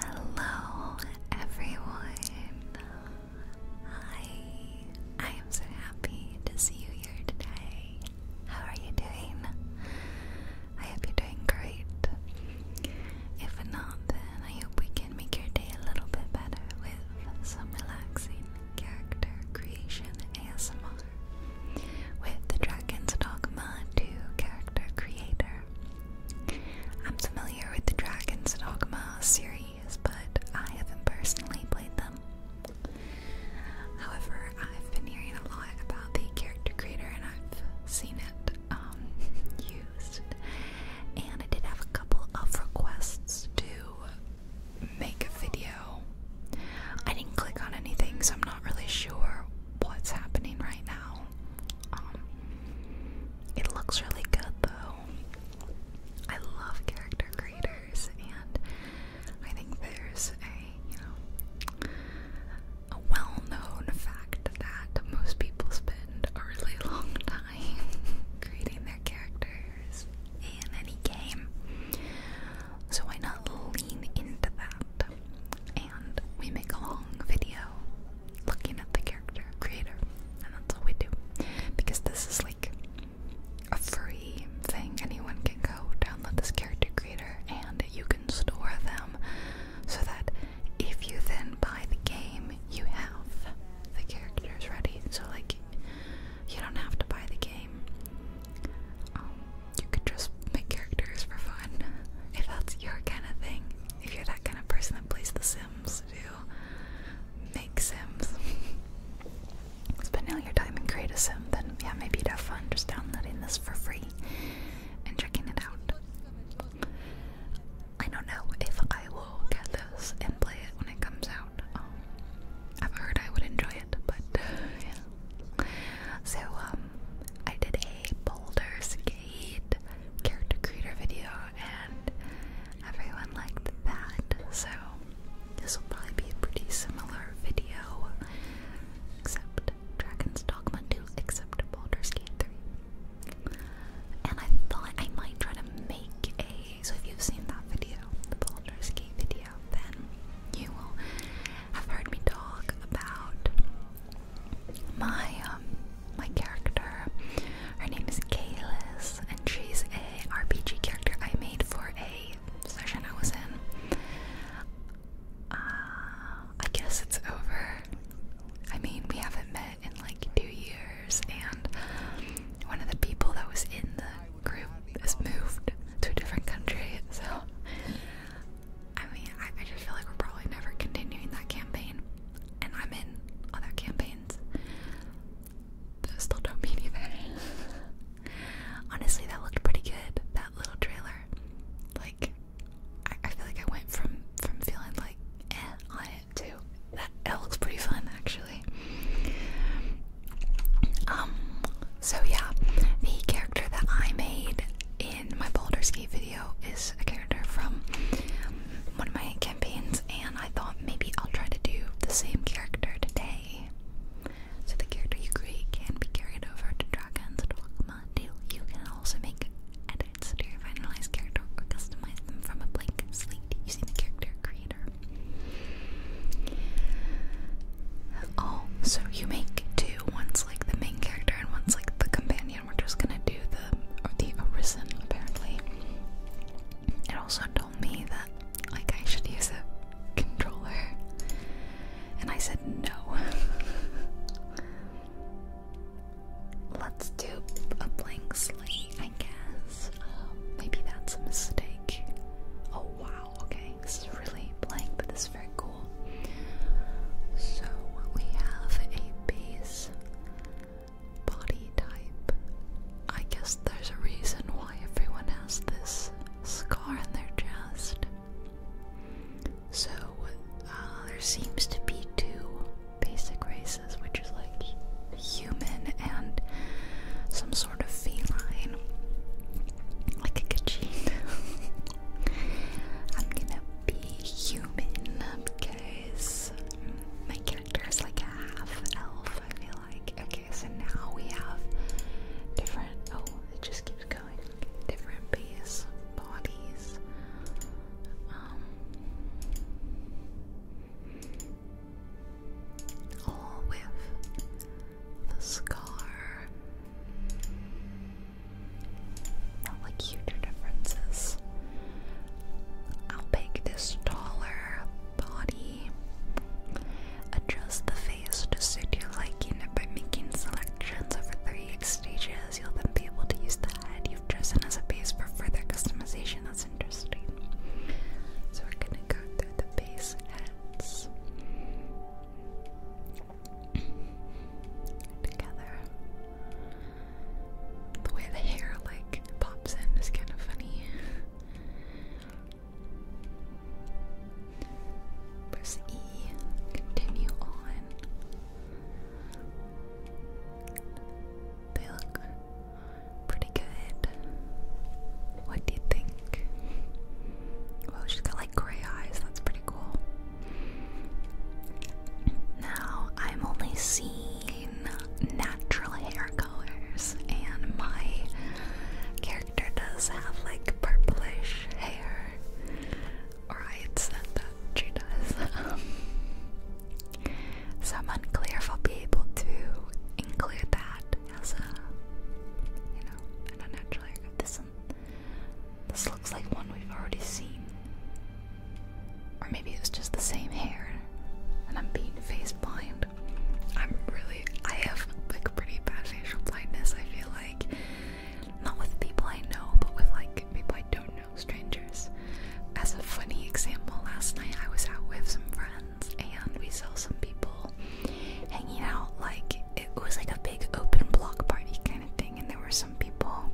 Hello, everyone. Hi. I am so happy to see you here today. How are you doing? I hope you're doing great. If not, then I hope we can make your day a little bit better with some relaxing character creation ASMR with the Dragon's Dogma 2 character creator. I'm familiar with the Dragon's Dogma series, but I haven't personally played them. However, I've been hearing a lot about the character creator and I've seen it um, used. And I did have a couple of requests to make a video. I didn't click on anything, so I'm not really sure what's happening right now. Um, it looks really good though. I love character creators, and I think there's a well-known fact that most people spend a really long time creating their characters in any game. So why not lean into that? and we make a long video looking at the character creator, and that's all we do because this is like a free thing. Anyone can go download this character creator, and you can store them so that if you then buy the game, you have the characters ready. So like, you don't have to buy the game. Um, you could just make characters for fun if that's your kind of thing. If you're that kind of person that plays The Sims, to make Sims, spend all your time and create a Sim, then yeah, maybe you'd have fun just downloading this for free and checking it out. I don't know if I will get this and play it when it comes out. Um, I've heard I would enjoy it, but uh, yeah. So um, I did a Baldur's skate character creator video, and everyone liked that. So this will probably be a pretty similar video, except Dragon's Dogma 2, except Baldur's skate 3. And I thought I might try to make a. So if you've seen that video, the Baldur's skate video, then you will have heard me talk about my um my character. Her name is Kalis, and she's a RPG character I made for a session I was in. Uh, I guess it's over. I mean, we haven't met in like two years, and one of the people that was in the group has moved to a different country, so I mean, I, just feel like we're probably never continuing that campaign, and I'm in other campaigns that still don't mean either. Honestly, that looked pretty good. That little trailer, like, I, feel like I went from from feeling like and eh, on it to that. That looks pretty fun, actually. Um, so yeah, the character that I made is in my Baldur's Gate video is a character from one of my campaigns, and I thought maybe I'll try to do the same character today. So the character you create can be carried over to Dragon's Dogma 2. You can also make edits to your finalized character or customize them from a blank slate using the character creator. Oh, so you make two ones like the main character and one's like the companion. We're just gonna do the the Orison apparently. It also told me that like I should use a controller, and I said no. Let's do a blank slate, I guess. Um, maybe that's a mistake. Oh wow, okay, this is really blank, that's very cool. So we have a base body type. I guess there's a reason why everyone has this scar in their chest. So uh, there seems to be two basic races, which is like human and some sort of feline. Like a kachin. I'm gonna be human because my character is like a half elf, I feel like. Okay, so now we have different. Oh, it just keeps going. Different base bodies. Um, all with the scar not like huge differences. I'll make this taller body. Adjust the face to suit your liking by making selections over three stages. You'll then be able to use the head you've chosen as a base for further customization. That's interesting. So we're gonna go through the base heads together. The way the hair like pops in is kind of funny. Press E, continue on. They look pretty good. What do you think? Well, she's got like gray eyes, that's pretty cool. Now, I'm only seeing natural hair colors, and my character does have like purplish hair. Or I'd said that she does. so I'm unclear if I'll be able to include that as a, you know, an unnatural this looks like one we've already seen. Or maybe it was just the same hair and I'm being face blind. I'm really, I have like pretty bad facial blindness, I feel like. Not with people I know, but with like people I don't know, strangers. As a funny example, last night I was out with some friends and we saw some people hanging out like it was like a big open block party kind of thing, and there were some people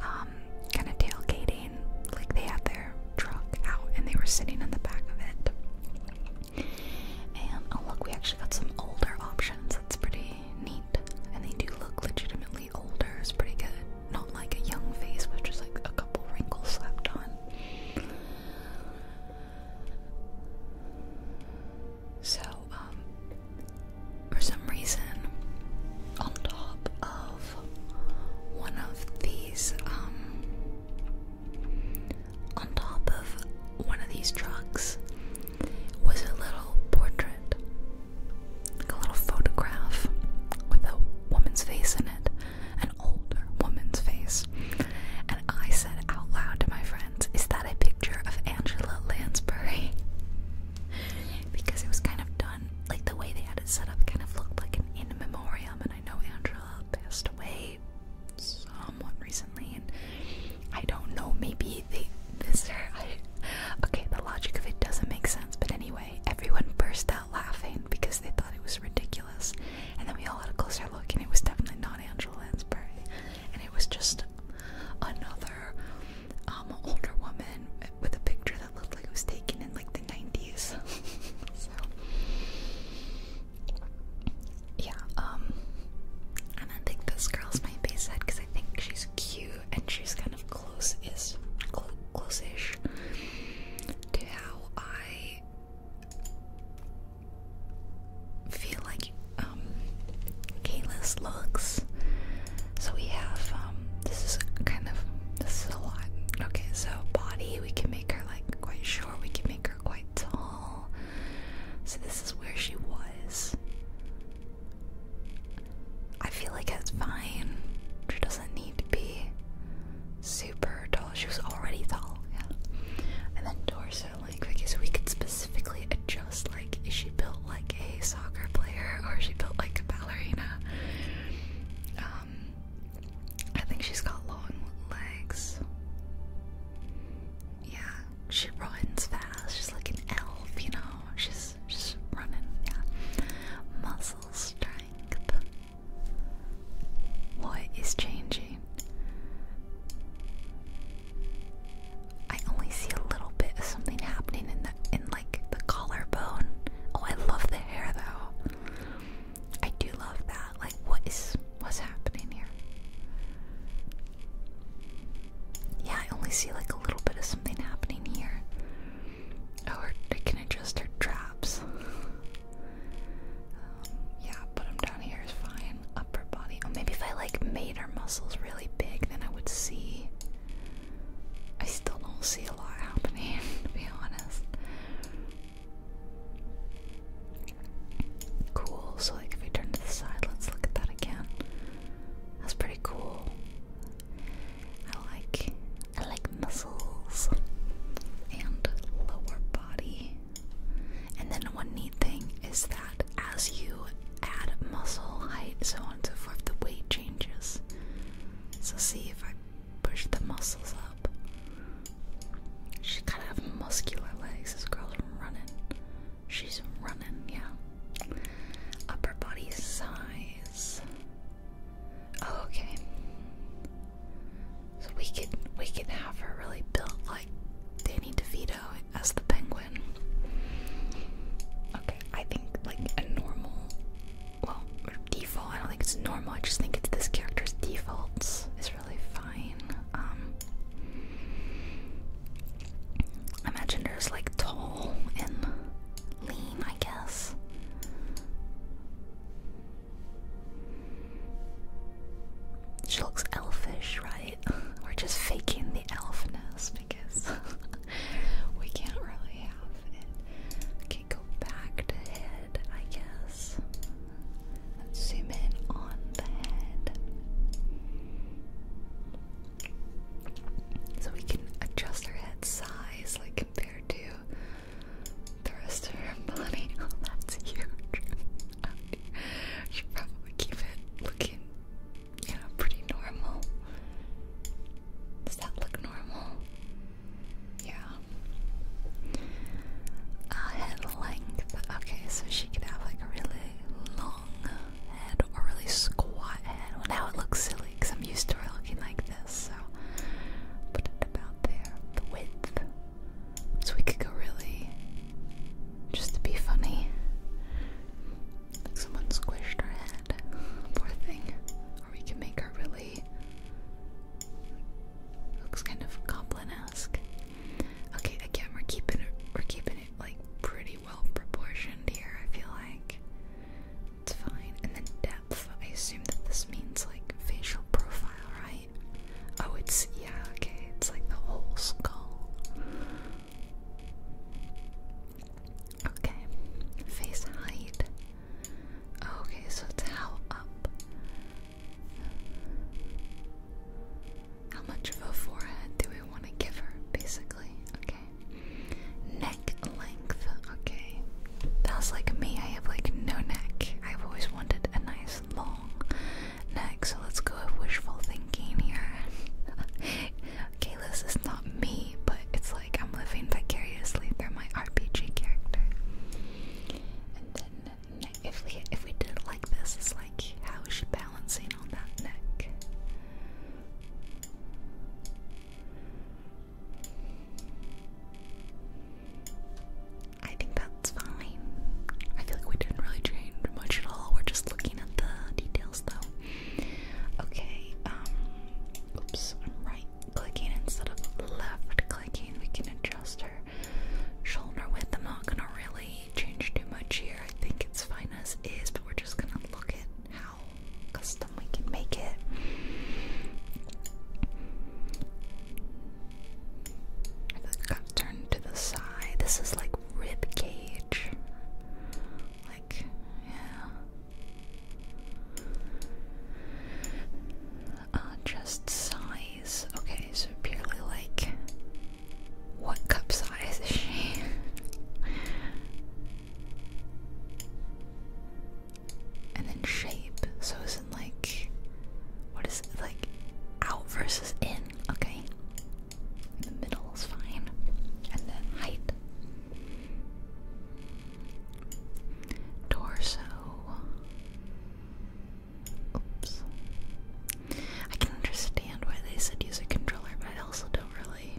um, kind of tailgating, like they had their truck out and they were sitting in the back of it. And oh look, we actually got some older options. That's pretty neat, and they do look legitimately older. It's pretty good. Not like a young face, with just like a couple wrinkles slapped on. So, um, for some reason, on top of one of these, um, on top of one of these trucks was a little portrait, like a little photograph with a woman's face in it, an older woman's face. And I said out loud to my friend, is that a picture of Angela Lansbury? because it was kind of done, like the way they had it set up kind of looked like an in memoriam. And I know Angela passed away somewhat recently, and I don't know, maybe they missed her. okay, the logic of it doesn't make sense, but anyway, everyone burst out laughing because they thought it was ridiculous. And then we all had a closer look, and it was definitely not Angela Lansbury. And it was just another um, older woman with a picture that looked like it was taken in like the 90s. yeah, um, and I think this girl's my base head because I think she's cute and she's kind of close is close-ish to how I feel like um, Kayla's looks. So we have um, this is kind of this is a lot. Okay, so body we can make her like quite short. We can make her quite tall. So this is where she was. I feel like that's fine. She doesn't need to be super tall. She was already tall, yeah. And then torso like because we could specifically adjust like is she built like a soccer player or is she built like a ballerina. Um I think she's got long legs. Yeah, she runs fast. She's like an elf, you know. She's just running, yeah. Muscle strength. What is changing? I only see a little bit of something happening in the in like the collarbone. Oh, I love the hair though. I do love that. Like, what is what's happening here? Yeah, I only see like a little bit of something happening here. Oh, or I can adjust her traps. Um, yeah, put them down here is fine upper body. Oh, maybe if I like made her muscles really big, then I would see. I still don't see a lot happening, to be honest. Cool. So, like, if we turn to the side, let's look at that again. That's pretty cool. I like. I like muscles and lower body. And then one neat thing is that as you add muscle height, so on and so forth, the weight changes. So see if I push the muscles up. She's kind of have muscular legs. This girl's running. She's running, yeah. Upper body size. Oh, okay. So we can we can have her really built like Danny DeVito as the penguin. Okay, I think like a normal, well, default, I don't think it's normal, I just think it's this character's defaults It's really fine. Um, imagine there's like tall and lean, I guess. She looks elfish, right? we're just faking the elfness because we can't really have it. can't go back to head, I guess. Let's zoom in on the head. So we can adjust our head size like compared to the rest of her body. Oh, that's huge. you probably keep it looking yeah, pretty normal. Does that look normal? Yeah. head length. Okay, so she could have like a really long head or really squat head. Well, now it looks silly because I'm used to her looking like this, so put it about there. The width. So we could go really just to be funny. Like someone squished her head. Poor thing. Or we can make her really. Looks kind of goblin-esque. Okay, again, we're keeping it. We're keeping it like pretty well proportioned here. I feel like it's fine. And then depth. I assume that this means like facial profile, right? Oh, it's yeah. Okay, it's like the whole skull. Okay, face height. Okay, so it's how up. How much of a forehead do we want to give her, basically? Okay. Neck length. Okay. That's like me. I have like no neck. I've always wanted a nice long neck so let's go with wishful thinking here. Kayla's is not me, but it's like I'm living vicariously through my RPG character. And then if we if we did it like this, it's like how is she balancing on that neck? I think that's fine. I feel like we didn't really change much at all. We're just looking at the details though. Okay, um, oops, I'm right clicking instead of left clicking. We can adjust her shoulder width. I'm not gonna really change too much here. I think it's fine as is, but we're just gonna look at how custom we can make it. I to the side. This is like rib cage. Like, yeah. Uh, just size. Okay, so purely like, what cup size is she? and then shape. So isn't like, what is it like, out versus in? Okay. The middle is fine. And then height. Torso. Oops. I can understand why they said use a controller, but I also don't really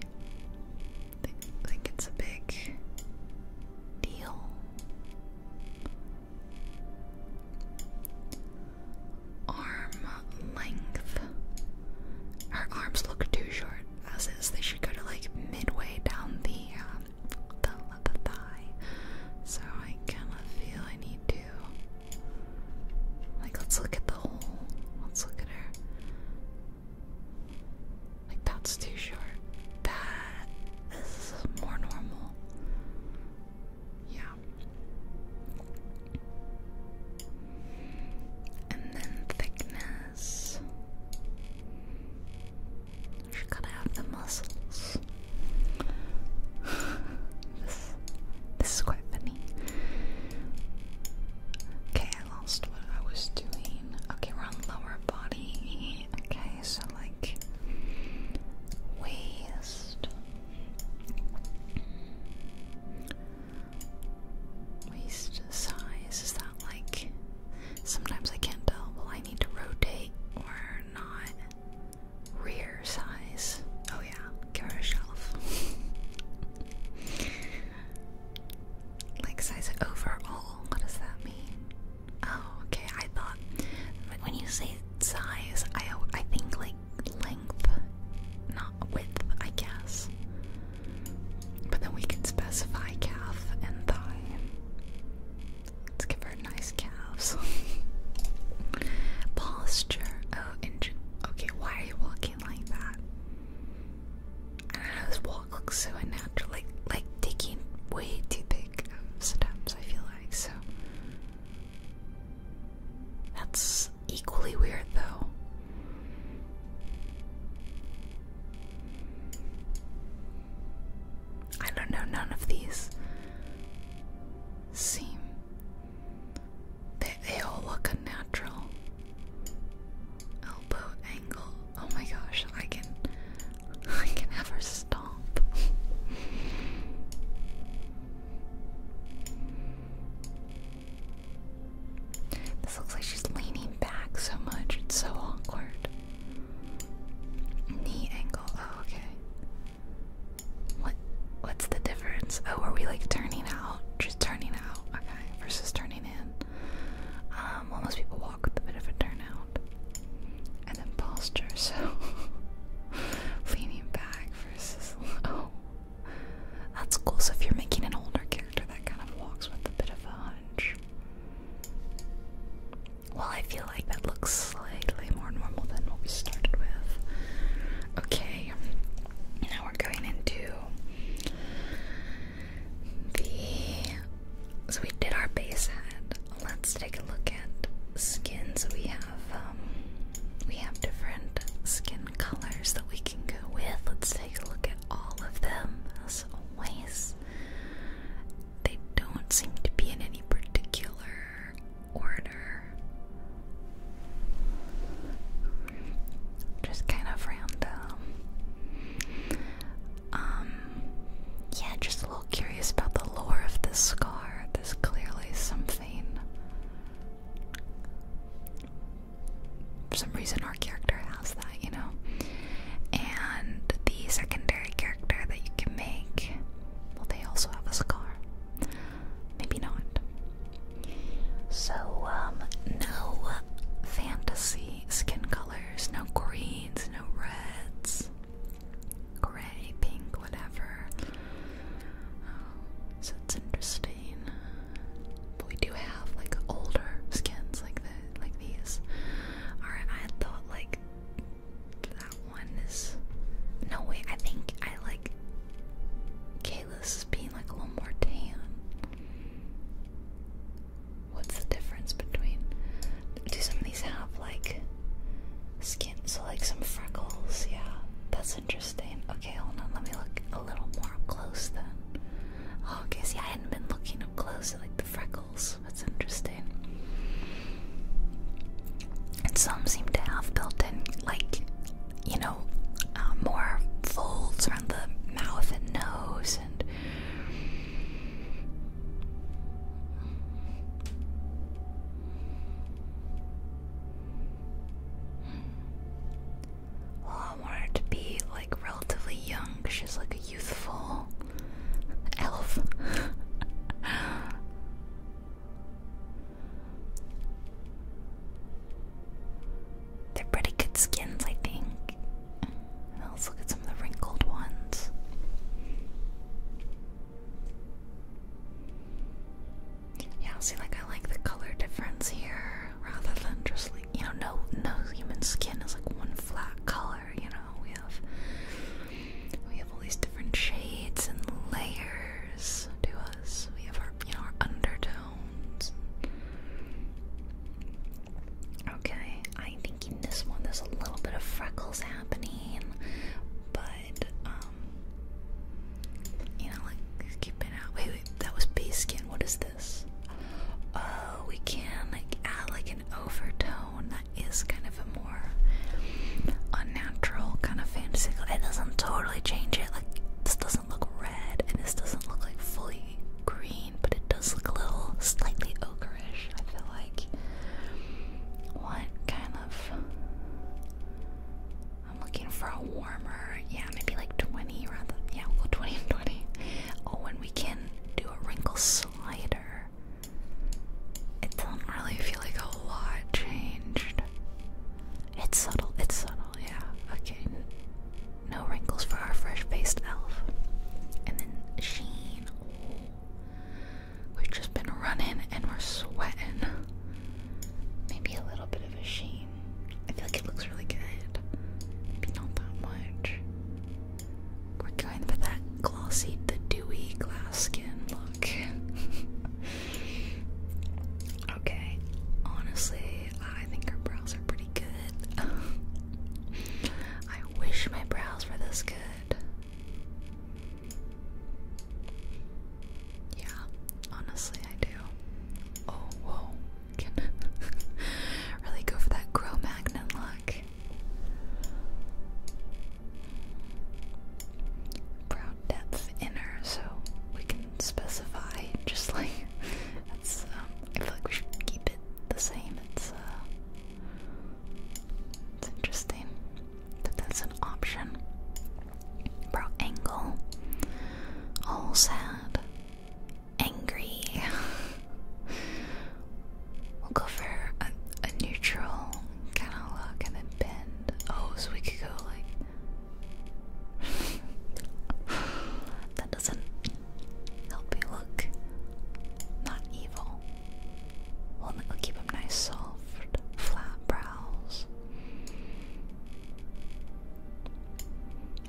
think, think it's a big deal arm length. Her arms look too short, as is. They should go to like midway down the um, the thigh. So I kind of feel I need to. Like, let's look at the whole. Let's look at her. Like, that's too short. That is more normal. Yeah, and then thickness. She going to have the muscles. this, this is quite funny. Okay, I lost what I was doing. Okay, we're on lower body. Okay, so like waist. Waist size, is that like. Sometimes I can't tell. Well, I need to rotate or not. Rear size. Oh, yeah, give shelf. like size overall, what does that mean? Oh, okay, I thought. When you say size, I, I think like length, not width, I guess. But then we can specify calf and thigh. Let's give her nice calves. Posture. Oh, injured. Okay, why are you walking like that? I know, this walk looks so unnatural. Like, like taking way too big of steps, I feel like, so. That's equally weird though. I don't know, none of these seem. They, all look unnatural. Elbow angle. Oh my gosh, I can. I can have her this looks like she's leaning back so much. It's so awkward. Knee angle. Oh, okay. What? What's the difference? Oh, are we like turning out? Just turning out. Okay. Versus turning in. Um, most people walk a bit of a turnout. And then posture. So leaning back versus. Oh. That's cool. So if you're making an older character that kind of walks with a bit of a hunch. Well, I feel like that looks slightly more normal than what we started with. Okay, now we're going into the. So we did our base head. Let's take a look at skins. We have um, we have different skin colors that we can go with. Let's take a look at all of them, as always. They don't seem to be in any particular order. Just kind of random. Um, yeah, just a little curious about the lore of this scar. There's clearly something for some reason our character has that, you know. And the secondary character that you can make, well, they also have a scar. Maybe not. So, um, no fantasy skin colors, no greens, no reds, gray, pink, whatever. so it's interesting. But we do have like older skins like the like these. Alright, I thought like that one is no way, I think I like Kayla's is being like a little more tan. What's the difference between do some of these have like skin so like some freckles, yeah. That's interesting. Okay, hold on, let me look a little more close then. Oh, okay, see, I hadn't been looking up close at like the freckles. That's interesting. And some seem to have built in, like, you know, uh, more folds around the mouth and nose and. Well, oh, I want her to be like relatively young. She's like a youthful elf. They're pretty good skins, I think. Let's look at some of the wrinkled ones. Yeah, see, like I like the color difference here, rather than just like you know, no, no human skin is like one flat color. You know, we have we have all these different shades and layers to us. We have our, you know, our undertones. Okay, I think in this one there's a little bit of freckles happening, but um, you know, like keep out. Wait, wait, that was base skin. What is this? Oh, we can like add like an overtone that is kind of a more unnatural kind of fantasy. It doesn't totally change it. Like this doesn't look red, and this doesn't look like fully green, but it does look a little slightly ochreish. I feel like what kind of I'm looking for a warmer, yeah, maybe like 20 rather. Yeah, well 20 and 20. Oh, and we can do a wrinkle slider. It doesn't really feel like a lot changed. It's subtle, it's subtle, yeah. Okay, no wrinkles for our fresh faced elf. And then Sheen. Oh. We've just been running and we're sweating. Maybe a little bit of a sheen. I feel like it looks really good. Maybe not that much. We're going for that glossy, the dewy glass skin look. okay, honestly, I think our brows are pretty good. I wish my brows were this good. Yeah, honestly, I do. Oh, whoa. really go for that grow magnet look. Brow depth inner, so we can specify just like that's um, I feel like we should keep it the same. It's uh, it's interesting that that's an option. Brought Angle. All sad. Angry. we'll go for a, neutral kind of look and then bend. Oh, we could go like. that doesn't help me look not evil. We'll, keep them nice, soft, flat, bright.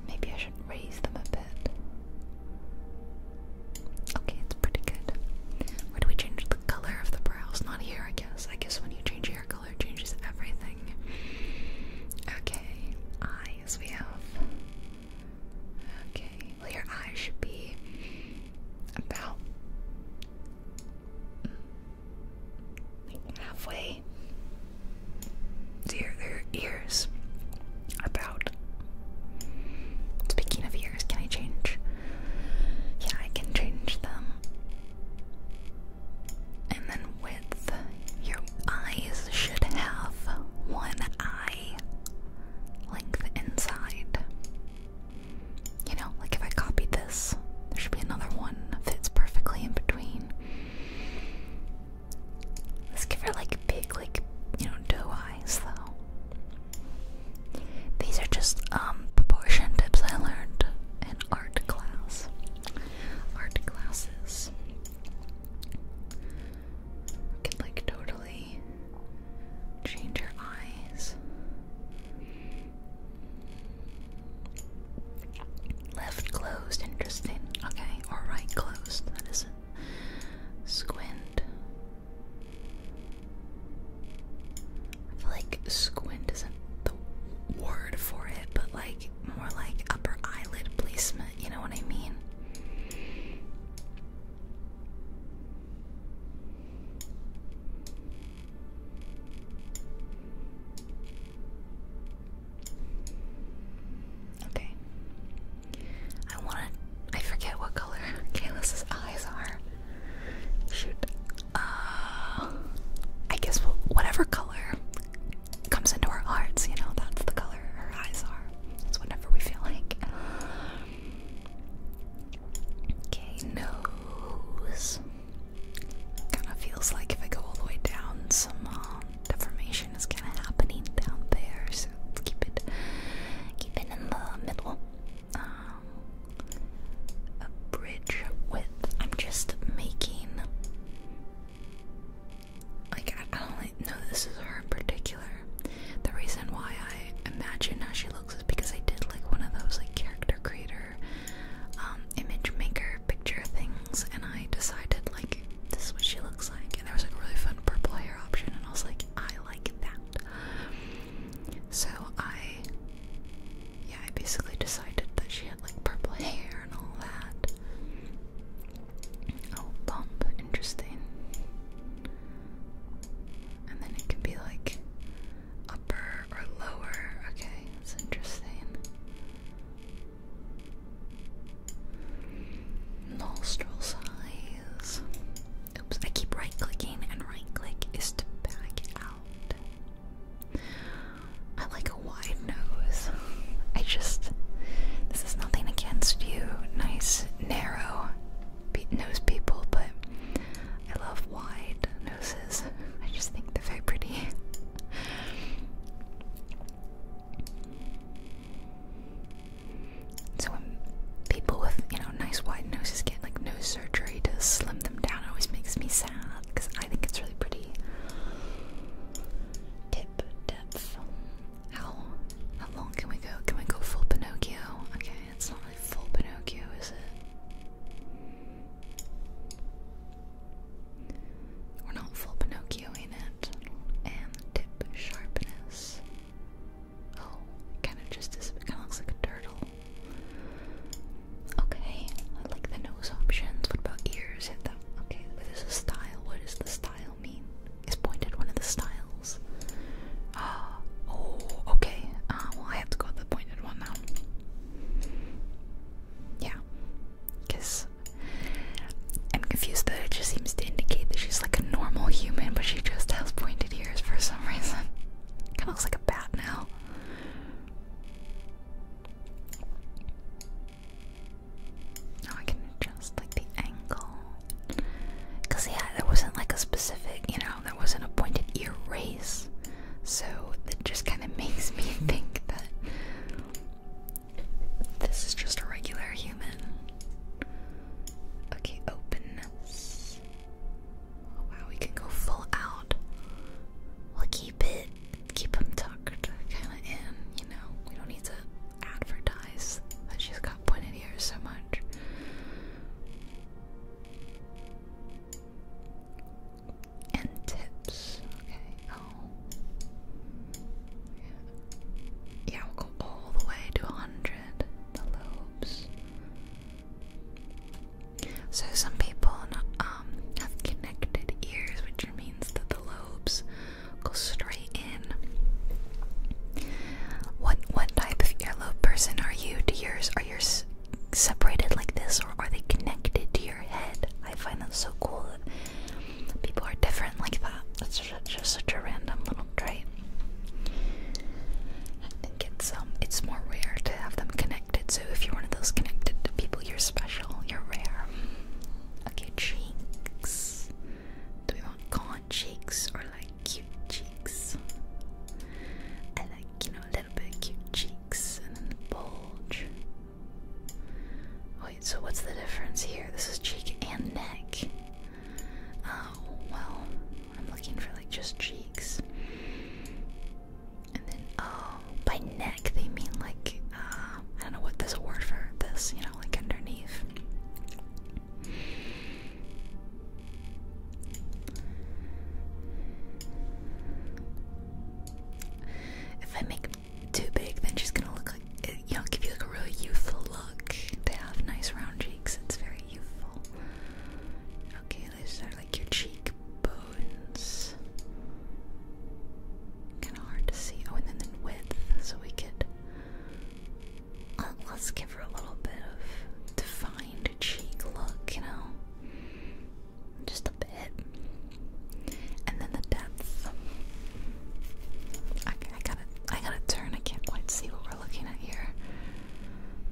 Maybe I should raise them a bit. Okay, it's pretty good. Where do we change the color of the brows? Not here, I guess. I guess when you change hair color, changes everything. Okay, eyes we have. Okay, well, your eyes should be about halfway Dear, their ears. About. Speaking of ears, can I change? Yeah, I can change them. And then width. Your eyes should have one eye length inside. You know, like if I copied this, there should be another one that fits perfectly in between. Let's give her like big, like, you know, doe eyes though. These are just um, proportion tips I learned in art class. Art classes. can like totally change her eyes. Left closed, interesting. Okay, or right closed, that is Squint. I feel like squint isn't the word for it, but like more like upper eyelid placement, you know what I mean? Okay. I want I forget what color Kalis's eyes are. Shoot. Uh I guess whatever color comes into our hearts, you know, that's the color her eyes are. It's whatever we feel like. Okay, nose. Kind of feels like if I go all the way down, some um, deformation is kind of happening down there. So let's keep it, keep it in the middle. Um, a bridge width. I'm just making. Like I, don't like, know this is her in particular. The reason why I imagine how she looks is because I did like one of those like character creators. Um, image maker picture things, and I decided like this is what she looks like, and there was like a really fun purple hair option, and I was like, I like that. So I, yeah, I basically decided that she had like purple hair and all that. Oh, bump, interesting. And then it can be like upper or lower. Okay, that's interesting. Nostril size. Oops, I keep right clicking, and right click is to back out. I like a wide nose. I just. This is nothing against you, nice, narrow nose people, but I love wide noses. I just think they're very pretty. So people with you know nice wide noses get like nose surgery to slim them down, always makes me sad because I think it's really pretty. Tip depth. How how long can we go? Can we go full Pinocchio? Okay, it's not really full Pinocchio, is it? We're not full Pinocchio in it. And tip sharpness. Oh, kind of just kind of looks like a turtle. Okay, I like the nose options. What about ears? Hit them. Okay, but this style. What does the style mean? Is pointed one of the styles? Ah, oh, okay. Uh, well, I have to go with the pointed one now yeah, because I'm confused that it just seems to indicate that she's like a normal human, but she just has pointed ears for some reason. Kind of looks like a bat now. Now I can adjust like the angle. Cause yeah, there wasn't like a specific, you know, there wasn't a pointed ear race. So it just kind of makes me think that this is just a regular human. Okay, openness. Oh, wow, we can go full out. We'll keep it, keep him tucked kind of in, you know. We don't need to advertise that she got pointed ears so much. And tips. Okay. Oh. Yeah. we'll go all the way to 100. The lobes. So some people um, have connected ears, which means that the lobes go straight in. What what type of earlobe person are you? Do yours are yours separated like this, or are they connected? Do I find that so cool that people are different like that. That's just such a random little trait. I think it's um, it's more rare to have them connected. So if you're one of those connected people, you're special. You're rare. Okay, cheeks. Do we want gaunt cheeks or like cute cheeks? I like you know a little bit of cute cheeks and then the bulge. Wait, so what's the difference here? This is cheek and neck. Oh, well, I'm looking for like just cheeks. And then, oh, by neck they mean like, uh, I don't know what there's word for this, you know, like underneath. If I make too big, then she's gonna look like you know, give you like a really youthful look. They have nice round cheeks. It's very youthful. Okay, these are like your cheekbones. Kind of hard to see. Oh, and then the width, so we could. Uh, let's give her a little bit of defined cheek look. You know, just a bit, and then the depth. I, gotta, I gotta turn. I can't quite see what we're looking at here.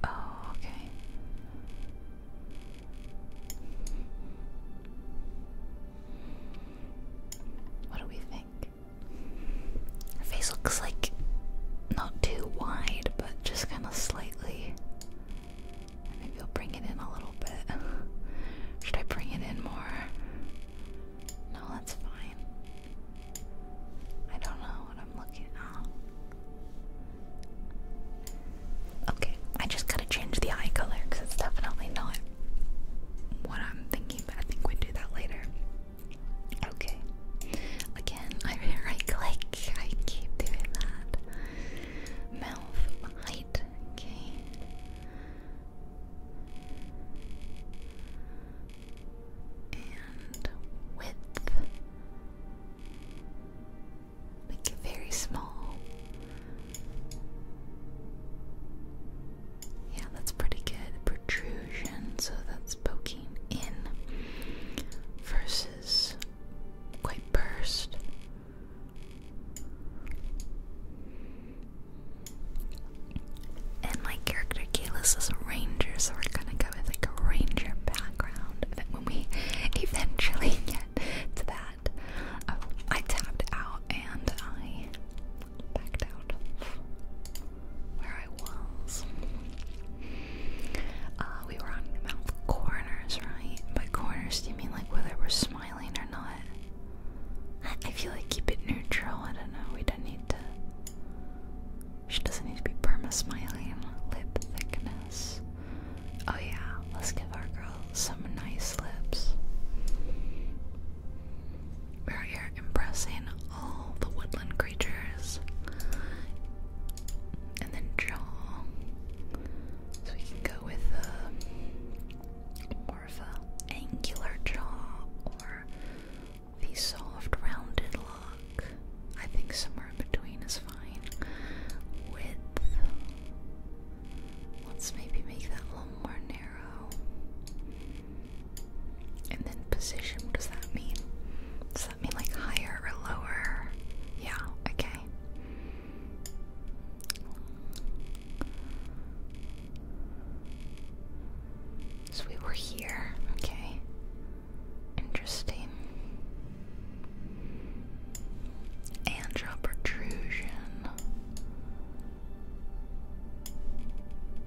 Oh, okay. What do we think? Her face looks like not too wide, but just kind of slightly Maybe I'll bring it in a little bit. Should I bring it in more? No, that's fine. I don't know what I'm looking at. Okay, I just gotta change the eye color because it's definitely not what I'm thinking, but I think we do that later. Okay. Again, I right click. I keep doing that. Mouth. Okay. And width. Make very small. Yeah, that's pretty good. Protrusion, so that's poking in versus quite burst. And my character Kalis is a ranger, so we're gonna go with like a ranger background. That when we eventually get to that, oh, I tapped out and I backed out of where I was. Uh, we were on mouth corners, right? By corners, do you mean like whether we're smiling? or not. I feel like keep it neutral. I don't know. We don't need to. She doesn't need to be perma smiling. Lip thickness. Oh yeah, let's give our girl some nice lips. We're here impressing all the woodland creatures. And then jaw. So we can go with a, um, more of a angular jaw or the soft rounded lock. I think somewhere in between is fine. Width. Let's maybe make that a little more narrow. And then position, what does that mean? Does that mean like higher or lower? Yeah, okay. So we were here, okay. Interesting. Andra protrusion,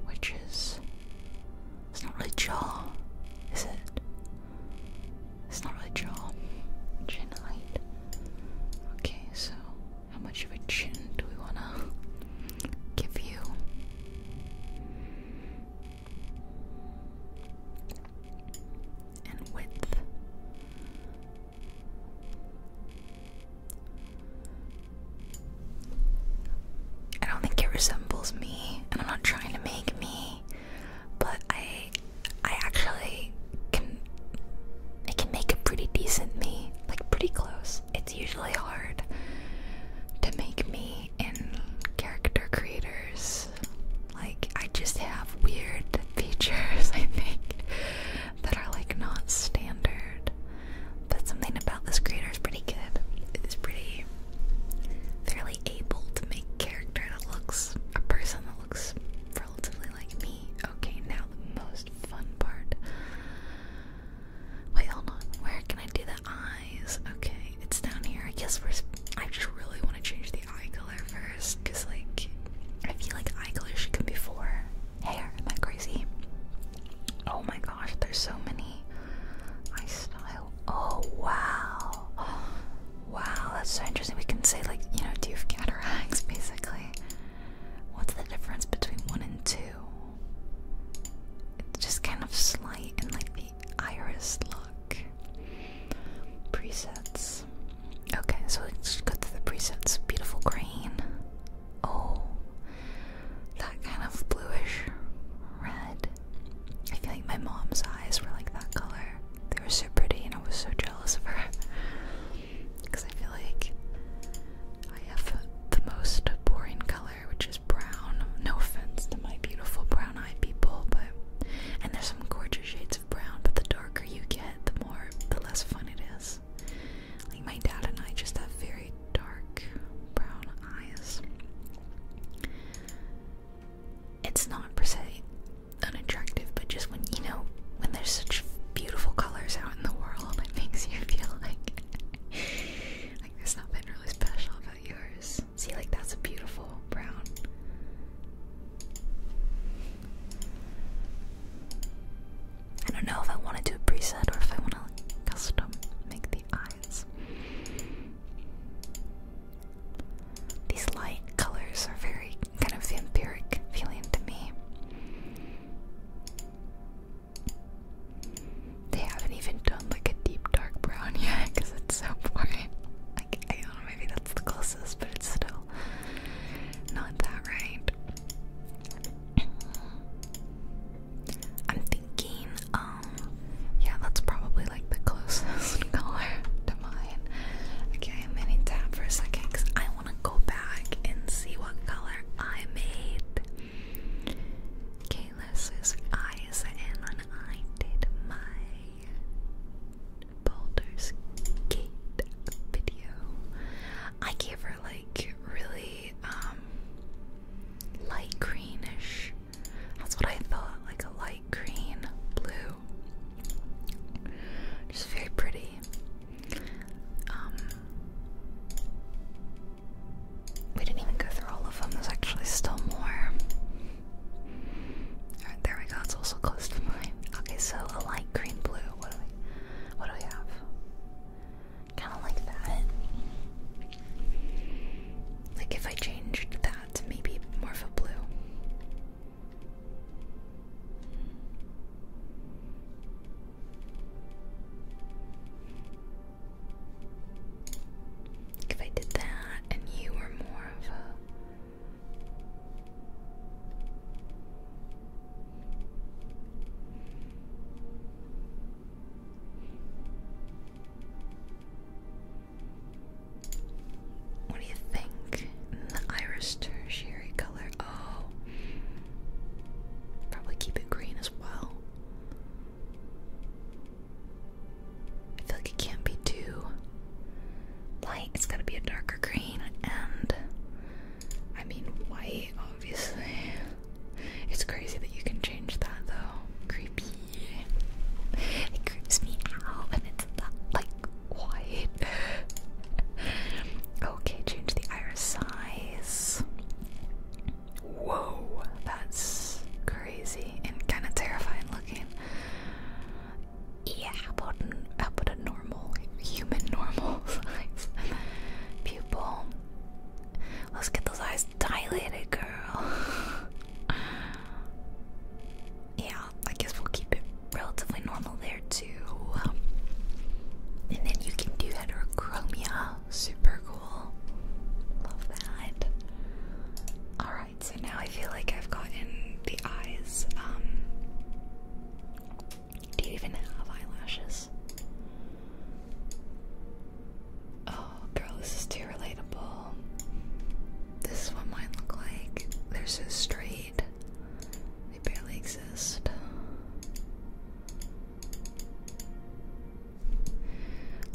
which is. It's not really jaw, is it? It's not really jaw. Genite. Okay, so how much of a chin do we want to give you? And width. I don't think it resembles me, and I'm not trying to make me, but I I actually can I can make a pretty decent me, like pretty close. It's usually hard to make me in character creators. Like I just have weird features, I think, that are like not standard. But something about this creator is pretty good. It's pretty fairly able to make character that looks a person looks relatively like me. Okay, now the most fun part. Wait, hold on. Where can I do the eyes? Okay, it's down here. I guess we're. I just really want to change the eye color first, cause like I feel like eye color should come before hair. Am I crazy? Oh my gosh, there's so many eye style. Oh wow. Wow, that's so interesting. We can say like, you know, do you have cataracts basically? What's the difference between one and two? It's just kind of slight and like the iris look. Presets. Okay, so let's go to the presets. Beautiful green. Oh, that kind of bluish red. I feel like my mom's eyes were like that color. They were so pretty, and I was so jealous of her because I feel like I have the most boring color, which is brown. No offense to my beautiful brown eyed people, but. And there's some gorgeous shades of brown, but the darker you get, the more, the less fun it is. Like my dad and I just have very dark brown eyes. It's not per se unattractive, but just when you know when there's such beautiful colors out in the world, it makes you feel like like there's nothing really special about yours. See, like that's a beautiful brown. I don't know if I want to do a preset or if I want to custom make the eyes. These light colors are very kind of the empiric feeling to me. They haven't even done like a deep dark brown yet because it's so boring. Like, I don't know, maybe that's the closest, but it's still not that right. I'm thinking, um, yeah, that's probably like the closest color to mine. Okay, I'm gonna tap for a second because I want want to go back and see what color I made. Kayla's eyes and I did my Baldur's Gate video, I gave her like really um, light greenish. That's what I thought, like a light green blue. Just very pretty. Um, we didn't even go through all of them. There's actually still more. Alright, there we go. It's also close to mine. Okay, so a light green blue. What do we what do we have? Kinda like that. Like if I changed that maybe more of a blue. If I did that and you were more of a what do you think? The iris tertiary color. Oh. Probably keep it green as well. I feel like it can't be too light. It's gotta be a darker green and I mean white, obviously. It's crazy that you can change that though. Creepy. It creeps me out and it's that like okay, change the iris size. Whoa, that's crazy and kind of terrifying looking. Yeah, how about a normal, human normal size? Pupil. Let's get those eyes dilated, girl. yeah, I guess we'll keep it relatively normal there too. and then you can do heterochromia. Super cool. Love that. Alright, so now I feel like I've gotten the eyes. Um, do you even have eyelashes? Oh, girl, this is too relatable. This is what mine look like. They're so straight. They barely exist.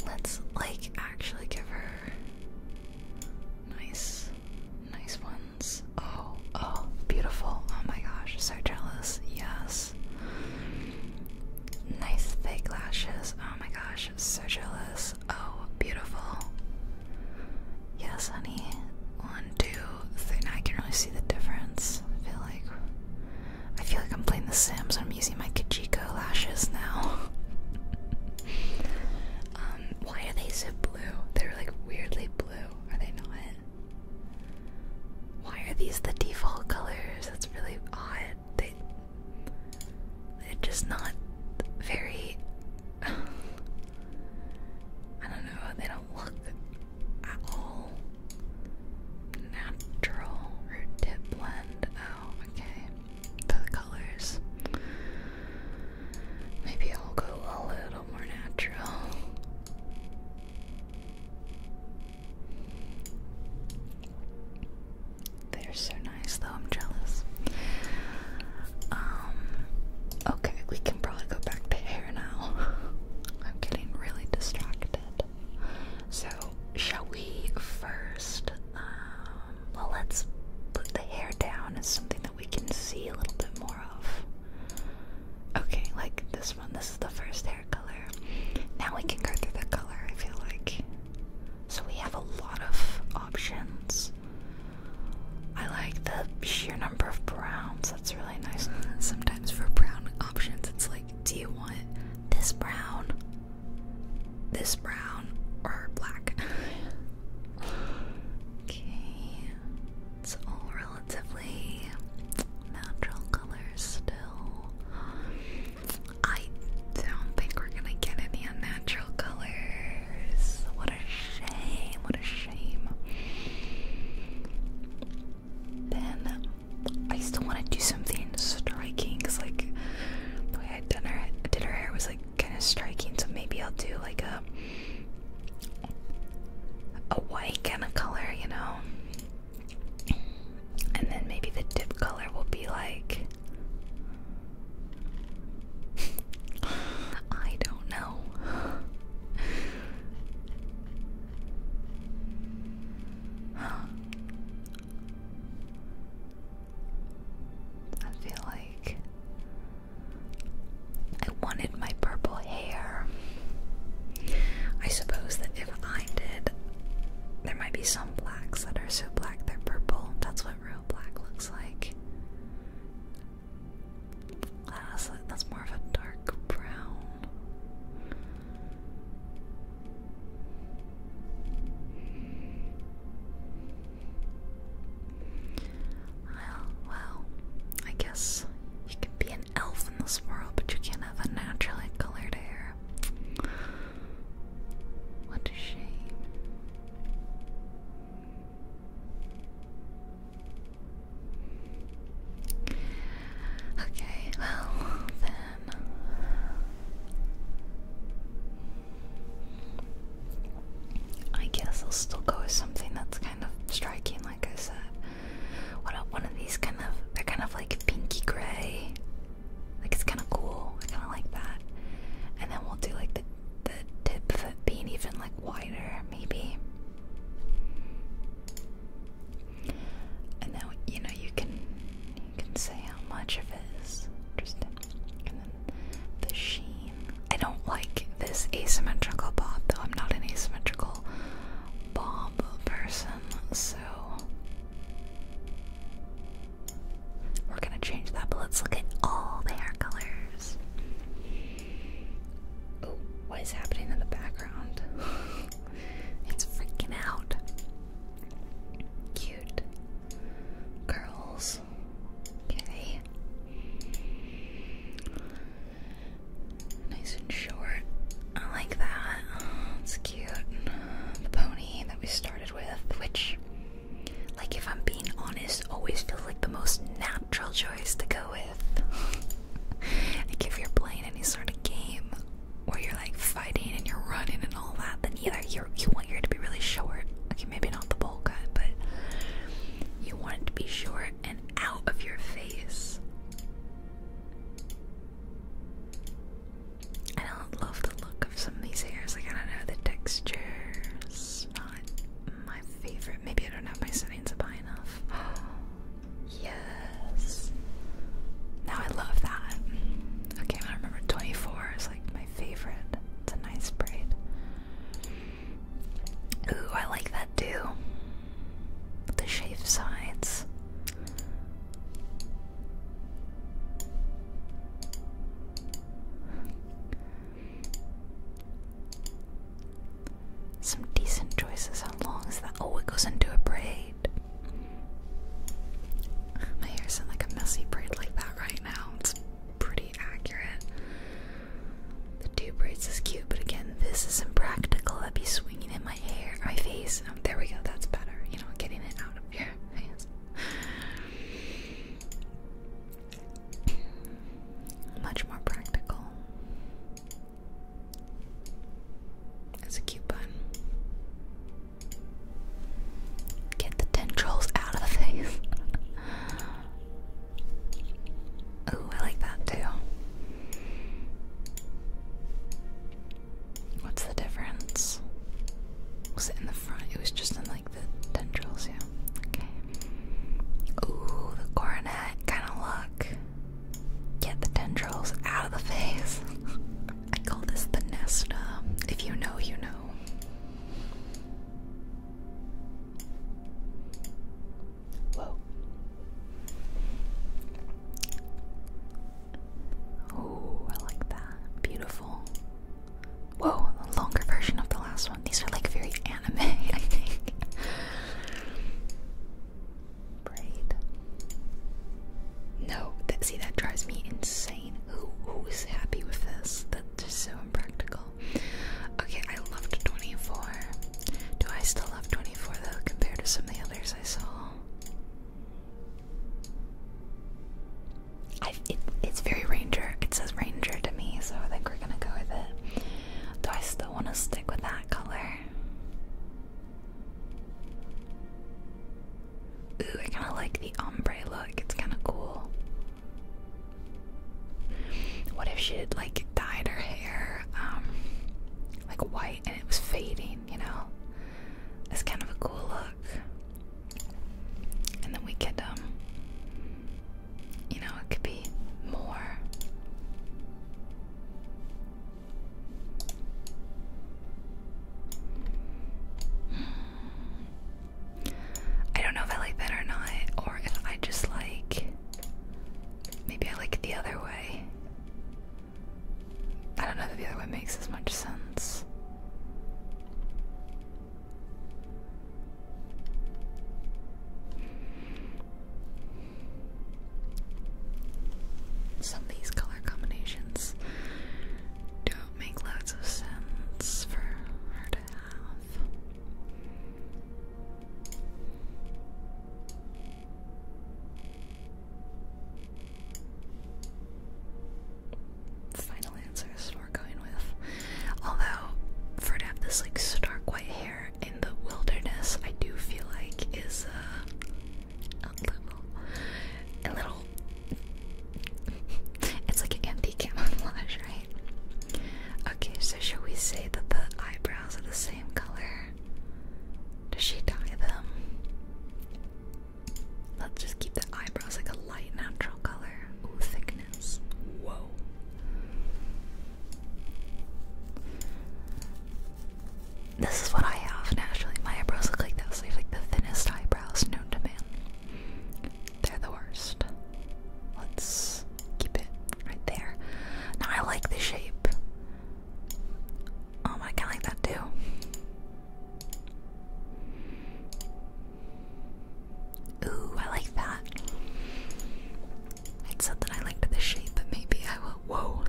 Let's like actually give her nice, nice ones. Oh, oh, beautiful. Oh my gosh, so jealous. Yes. Nice thick lashes. Oh my gosh, so jealous. Oh, beautiful. Yes, honey. One, two, three. Now I can really see the difference. I feel like I feel like I'm playing The Sims. I'm using my Kajiko lashes now. um, why are they so blue? They're like weirdly blue. Are they not? Why are these the default colors? That's really odd. They, they're just not very. I don't know, they don't look at all natural root tip blend. Oh, okay. For the colors. Maybe I'll go a little more natural. They're so nice though, I'm jealous. Um, okay, we can probably go back to hair now. I'm getting really distracted. So, shall we first? Um, well, let's put the hair down as something that we can see a little bit more of. Okay, like this one. This is the first hair color. Now we can go through the color, I feel like. So, we have a lot of options. I like the sheer number of browns. That's really nice. Sometimes for brown options, it's like, do you want this brown, this brown, or black? okay, it's all relatively natural colors still. I don't think we're gonna get any unnatural color. What a shame. What a shame. Then I still want to do something striking because, like, the way I done did her hair was like kind of striking. So maybe I'll do like a a white kind of color, you know. And then maybe the dip color will be like I don't know. I feel like I wanted my purple hair. I suppose that if I did, there might be some blacks that are so black they're purple. That's what real black looks like. Honestly, that's more of a dark brown. Well, well, I guess you can be an elf in this world, but you can't have a colored hair. What a shame. Okay, well, then. I guess I'll still go with something that's kind of striking, like I said. one of these kind of. They're kind of like pinky gray. Like, it's kind of cool. I kind of like that. And then we'll do like the the tip of being even like wider, maybe. And now you know you can you can say how much it is the sheen. I don't like this asymmetrical bob though. I'm not an asymmetrical bob person, so we're gonna change that. But let's look at all the hair colors. Oh, what is happening in the background? it's freaking out. Cute. Girls. Okay. Nice and short. I like that. It's cute. The pony that we started with, which, like, if I'm being honest, always feels like the most natural choice to go with. like if you're playing any sort of game where you're like fighting and you're running and all that, then either you you want your hair to be really short, okay, maybe not the bowl cut, but you want it to be short and out of your face. I don't love the look of some of these hairs. Like I don't know, the texture's not my favorite. Maybe I don't have my settings up high enough. yes. Now I love that. Okay, I remember 24 is like my favorite. It's a nice braid. Ooh, I like that too. The shaved sides. Some decent choices. How long is that? Oh, it goes into a braid. My hair's in like a messy braid like that right now. It's pretty accurate. The two braids is cute, but again, this is not practical. I'd be swinging in my hair, my face. Oh, there we go. That's better. You know, getting it out of here. Much more practical. It's a cute bun. Get the tendrils out of the face. oh, I like that too. What's the difference? Was it in the front? It was just in like the tendrils, Ooh, the coronet kind of look. Get the tendrils out of the face. I call this the Nesta. If you know, you know. Whoa. Oh, I like that. Beautiful. Whoa, a longer version of the last these are like very anime, I think. No, see that drives me insane. who is happy with this? That's so impractical. Okay, I loved 24. Do I still love 24 though compared to some of the others I saw? it's very ranger. It says ranger to me, so I think we're gonna go with it. Do I still want to stick with that color? Ooh, I kind of like the ombre look. It's kind of cool. What if she had like dyed her hair um, like white and it was fading, you know? It's kind of a cool look. And then we get um you know, it could be more. Hmm. I don't know if I like that or not, or if I just like. Maybe I like it the other way. I don't know if the other way makes as much sense. Some of these color combinations don't make loads of sense for her to have. Final answers we're going with. Although for to have this like stark white hair in the wilderness, I do feel like is uh, a little, it's like an anti-camouflage, right? Okay, so shall we say that the eyebrows are the same color? Does she dye them? Let's just keep the eyebrows like a light natural color. Ooh, thickness. Whoa. This is what I have naturally. My eyebrows look like this. like the thinnest eyebrows known to man. They're the worst. Let's keep it right there. Now I like the shape. Um, I kinda like that too. Ooh, I like that. It said that I liked the shape, but maybe I will. Whoa.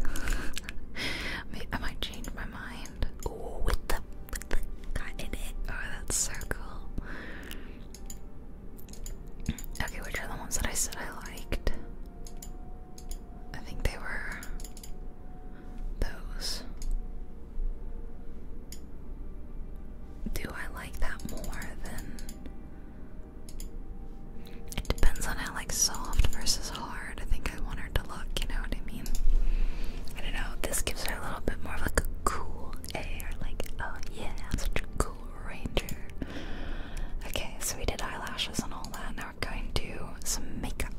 maybe I might change my mind. Ooh, with the with the guy in it. Oh, that's so cool. Okay, which are the ones that I said I liked? I think they were those. Do I like that more than it depends on how like soft versus hard I think I want her to look, you know what I mean? I don't know, this gives her a little bit more of like a cool air, like oh yeah, such a cool ranger. Okay, so we did eyelashes and all that, now we're going to do some makeup.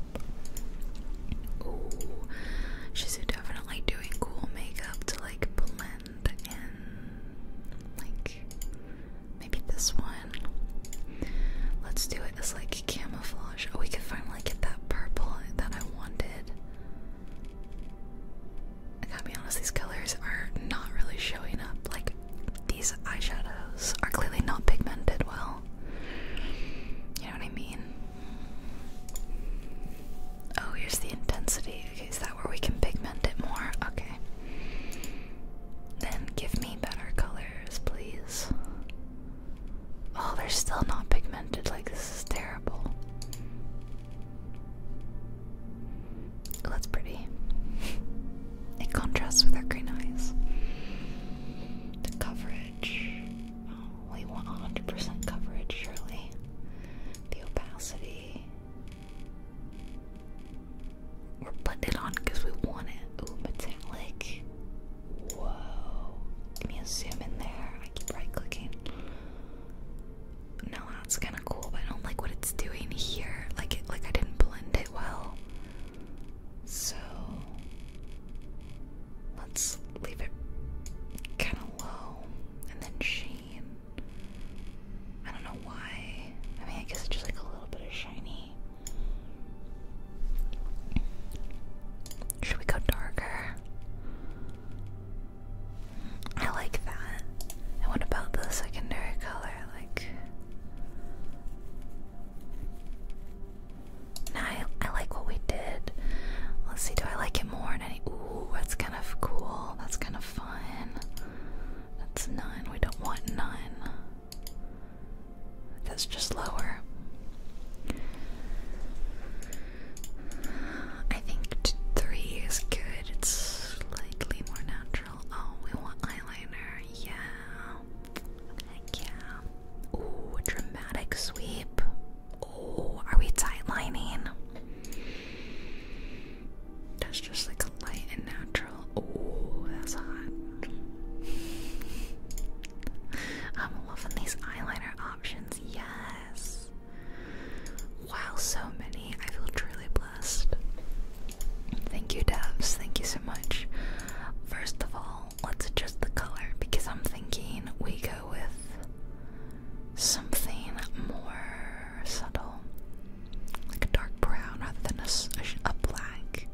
Ooh, she's definitely doing cool makeup to like blend and like maybe this one. Let's do it as like camouflage. Oh, we could finally get that purple that I wanted. I gotta be honest, these colors are not really showing up. Like, these eyeshadows are clearly not pigmented well. You know what I mean? Oh, here's the intensity is that where we can pigment it more? Okay. Then give me better colors, please. Oh, they're still not pigmented. Like, this is terrible. Oh, that's pretty. It contrasts with our green eyes. The coverage. Oh, we want 100% coverage, surely. The opacity. We're putting it on because we want it. Ooh, metallic. Whoa. Can you zoom in there? I keep right clicking. No, that's kind of cool, but I don't like what it's doing here. Like like I didn't blend it well. So let's leave it kind of low, and then sheen. I don't know why. I mean, I guess it's just like a little bit of shiny. Should we go darker? I like that. And what about the secondary color? Like, no, I, like what we did. Let's see, do I like it more? In any? Ooh, that's kind of cool. That's kind of have That's nine. We don't want nine. That's just lower. I think three is good. It's slightly more natural. Oh, we want eyeliner. Yeah. yeah. Ooh, dramatic sweep. Oh, are we tightlining? That's just like a light and natural. Oh, that's hot. I'm loving these eyeliner options. Yes. Wow, so many. I feel truly blessed. Thank you, devs. Thank you so much. First of all, let's adjust the color because I'm thinking we go with something more subtle like a dark brown rather than a, black.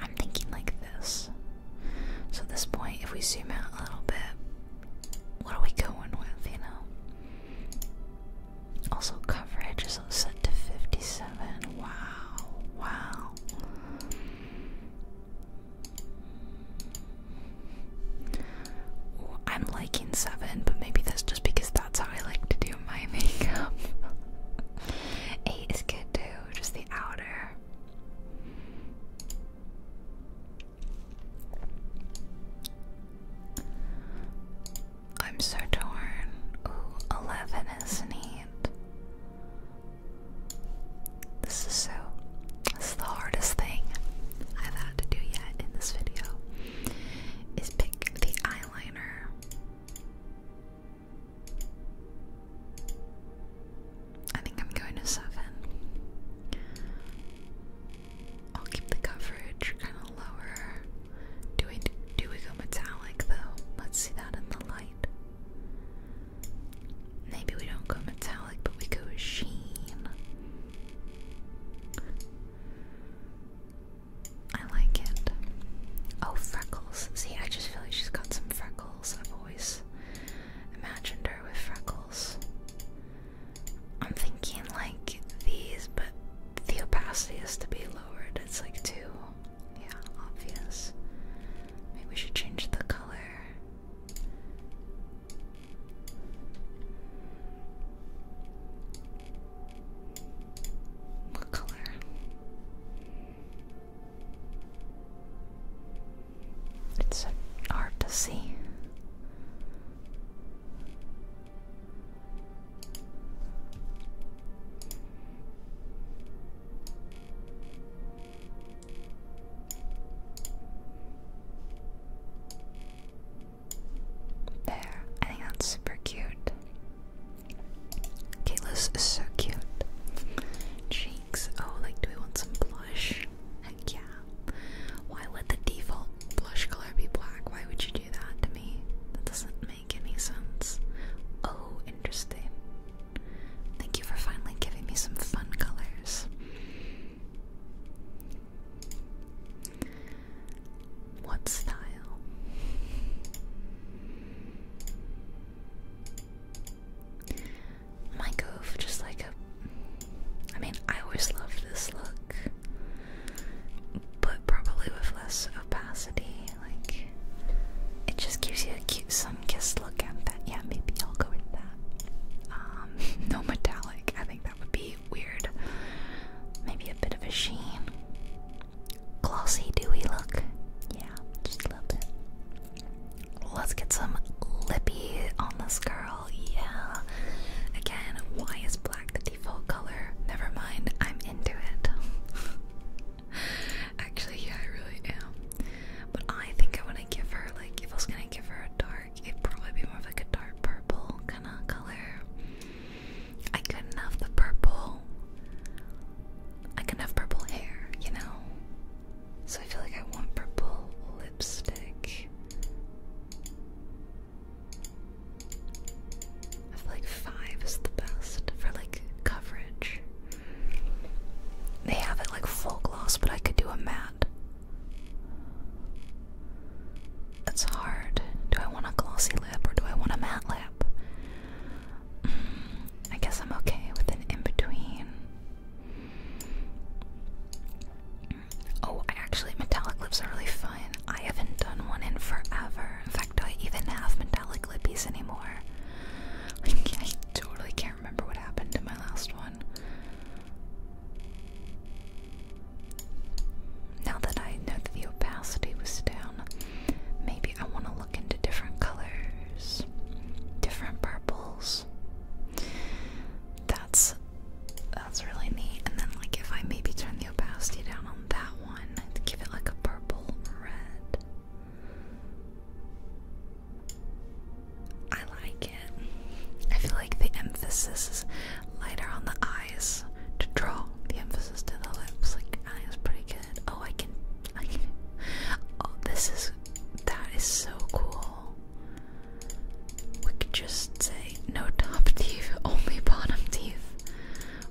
I'm thinking like this. So at this point, if we zoom out a little bit, what are we going with, you know? Also, coverage is set to 57. Wow, wow. I'm liking seven, but maybe that's just because that's how I like to do my makeup. Eight is good too, just the outer. I'm so torn. 11 is neat. This is so, this is the hardest thing I've had to do yet in this video is pick the eyeliner. I think I'm going to seven. I'll keep the coverage kind of lower. Do we do we go metallic though? Let's see that in the light. Maybe we don't go metallic, but we go sheen. I like it. Oh, freckles. See, I just feel like she's got some freckles. I've always imagined her with freckles. I'm thinking like these, but the opacity has to be lowered. It's like too, yeah, obvious. Maybe we should change the color. What color? It's hard to see. There, I think that's super cute. Kayla's so cute. Cheeks, oh, like, do we want some blush? Heck yeah. Why would the default blush color be black? Why would you do that to me? That doesn't make any sense. Oh, interesting. Thank you for finally giving me some fun colors. What style? My go just like a. I mean, I always love this look, but probably with less opacity. Like, it just gives you a cute sun kissed look, and that, yeah, maybe I'll go with that. Um, no metallic. I think that would be weird. Maybe a bit of a sheen. Glossy, dewy look. Yeah, just a little Let's get some lippy on this girl. Yeah. Again, why is black the default color? Never mind, I'm into it. Actually, yeah, I really am. But I think I want to give her, like, if going to give her a dark, it'd probably be more of like a dark purple kind of color. I couldn't have the purple. I can have purple hair, you know? So I feel like I want purple lipstick. I feel like five is the best for like coverage. They have it like full gloss, but I could do a matte. It's hard. Do I want a glossy lip or do I want a matte lip? Mm, I guess I'm okay with an in between. Mm, oh, actually, metallic lips are really fun. I haven't done one in forever. In fact, do I even have metallic lippies anymore? I, totally can't remember what happened to my last one. Now that I know that the opacity was down, maybe I want to look into different colors, different purples. That's that's really neat. And then, like, if I maybe turn the opacity down on that one, give it like a purple red. I like it. I feel like the emphasis is lighter on the eyes to draw the emphasis to the lips. Like I think pretty good. Oh, I can, I Oh, this is that is so cool. We could just say no top teeth, only bottom teeth,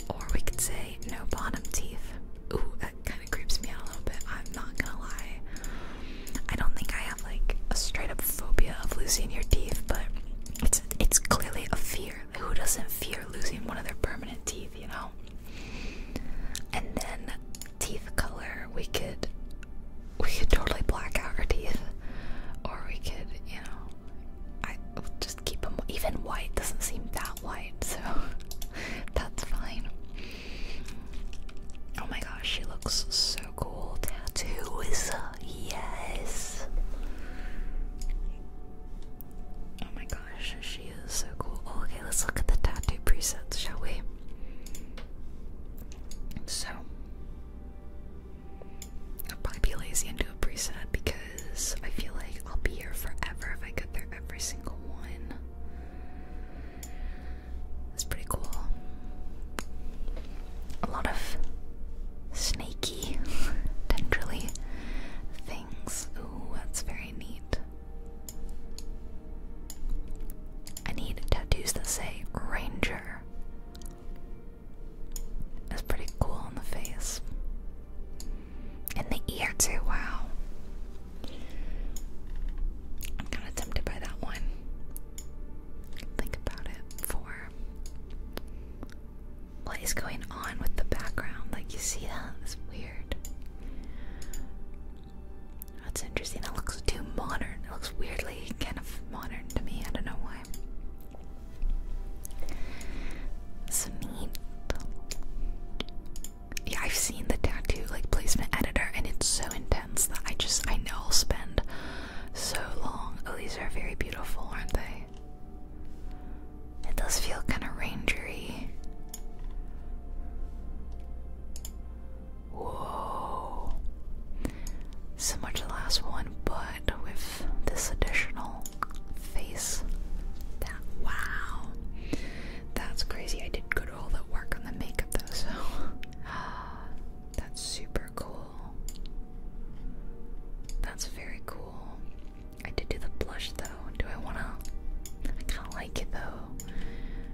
or we could say no bottom teeth. Ooh, that kind of creeps me out a little bit. I'm not gonna lie. I don't think I have like a straight up phobia of losing your teeth, but it's it's clearly a fear. Who doesn't fear losing one of their permanent teeth, you know? And then teeth color, we could we could totally black out our teeth, or we could, you know, I just keep them. Even white doesn't seem that white, so that's fine. Oh my gosh, she looks so so cool. Tattoos, yes. Oh my gosh, she is so cool. Oh, okay, let's look at the tattoo presets, shall we? So, I'll probably be lazy and do a preset because I feel like I'll be here forever if I get there every single one. That's pretty cool a lot of snaky, tendrily things. Ooh, that's very neat. I need tattoos that say Ranger. That's pretty cool on the face. And the ear, too, wow. I'm kind of tempted by that one. Think about it for what is going on with the background? Like, you see that? It's weird. That's interesting. It looks too modern. It looks weirdly kind of modern to me. I don't know why. It's neat. Yeah, I've seen the tattoo like placement editor, and it's so intense that I just I know I'll spend so long. Oh, these are very beautiful, aren't they? It does feel kind of rangery. Whoa. Similar to the last one, but with this additional face. wow. That's crazy. I did good all that work on the makeup though, so that's super cool. That's very cool. I did do the blush though. Do I wanna? I kinda like it though.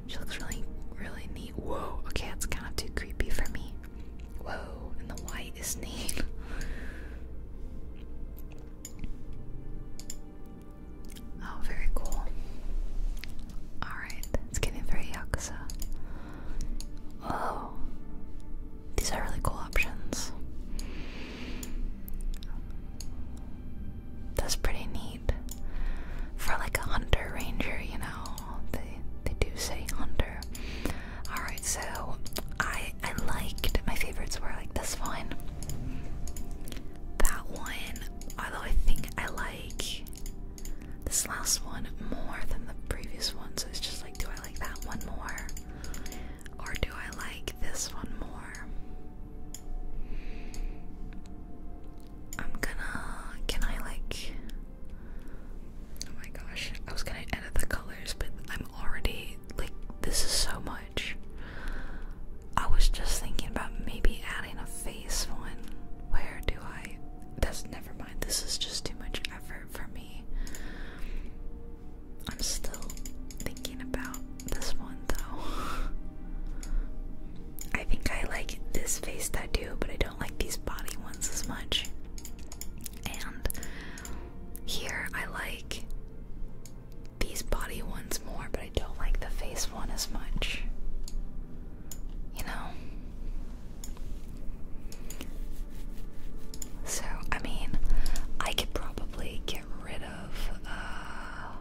She looks really, really neat. Whoa, okay, that's kind of too creepy for me. Whoa, and the white is neat. oh, very cool. Alright, it's getting very yakuza. Whoa. These are really cool options. That's pretty neat. For like a hunter ranger, you know. They they do say hunter. Alright, so I I liked my favorites were like this one. That one. Although I think I like this last one more than the previous one, so it's just like do I like that one more? Or do I like this one more? I'm gonna. Can I, like. Oh my gosh. I was gonna edit the colors, but I'm already. Like, this is so much. I was just thinking about maybe adding a face one. Where do I. That's never mind. This is just too much effort for me. I'm still thinking about this one though. I think I like this face tattoo, but I don't like these body ones as much. And here I like these body ones more, but I don't like the face one as much. You know? So, I mean, I could probably get rid of. Uh,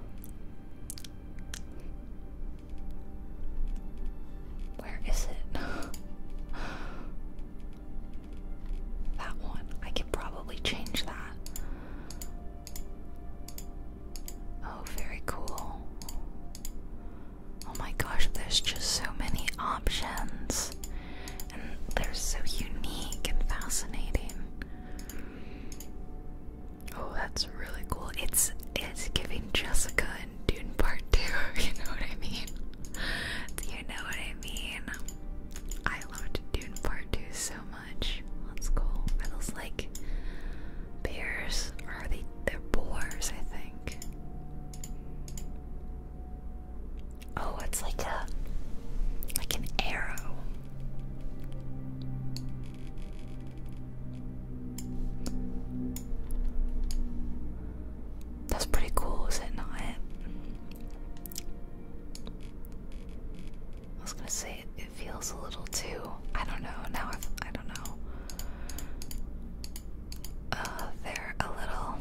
where is it? that one. I could probably change that. Oh, very cool. Oh my gosh, there's just so many options. And they're so unique and fascinating. Oh, that's really cool. It's it's giving Jessica and Dune Part 2, you know what I mean? You know what I mean? I loved Dune Part 2 so much. That's cool. those like bears? are they they're boars, I think. Oh, it's like a like an arrow. That's pretty cool, is it not? I was gonna say it, feels a little too. I don't know. Now I've, I don't know. Uh, they're a little.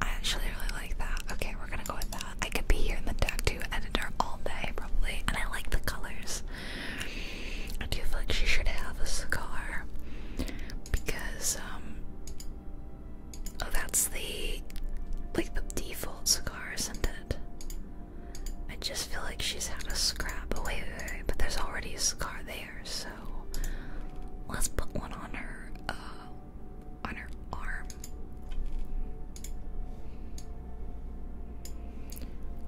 I actually really like that. Okay, we're gonna go with that. I could be here in the tattoo editor all day, probably, and I like the colors. I do feel like she should have a scar? because, um, oh, that's the like the default scar, isn't it? I just feel like she's had a scrap. Oh, wait, but there's already a scar there so let's put one on her uh, on her arm.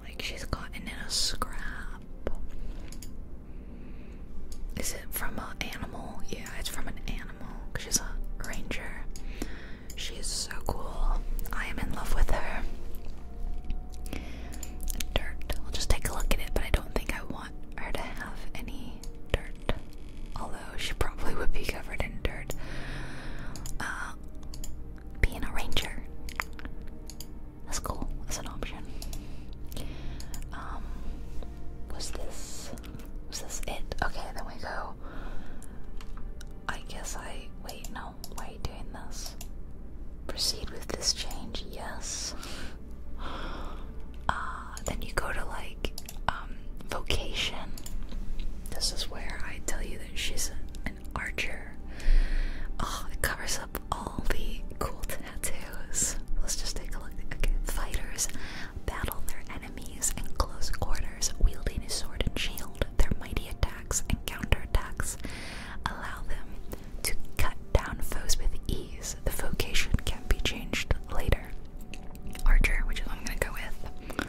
Like she's gotten in a scrap. Is it from an animal? Yeah, it's from an animal. She's a ranger. She's so cool. I am in love with her dirt. We'll just take a look at it, but I don't think I want her to have any dirt. Although she probably would be covered in dirt. Uh, being a ranger. That's cool. That's an option. Um, was this was this it? Okay, then we go. I guess I wait. No, why are you doing this? Proceed with this change, yes. Uh, then you go to like, um, vocation. This is where I tell you that she's an archer. Oh, it covers up all the cool tattoos. Let's just take a look. Okay, fighters battle their enemies in close quarters, wielding a sword and shield. Their mighty attacks and counterattacks allow them to cut down foes with ease, the vocation can be changed later. Archer, which I'm gonna go with.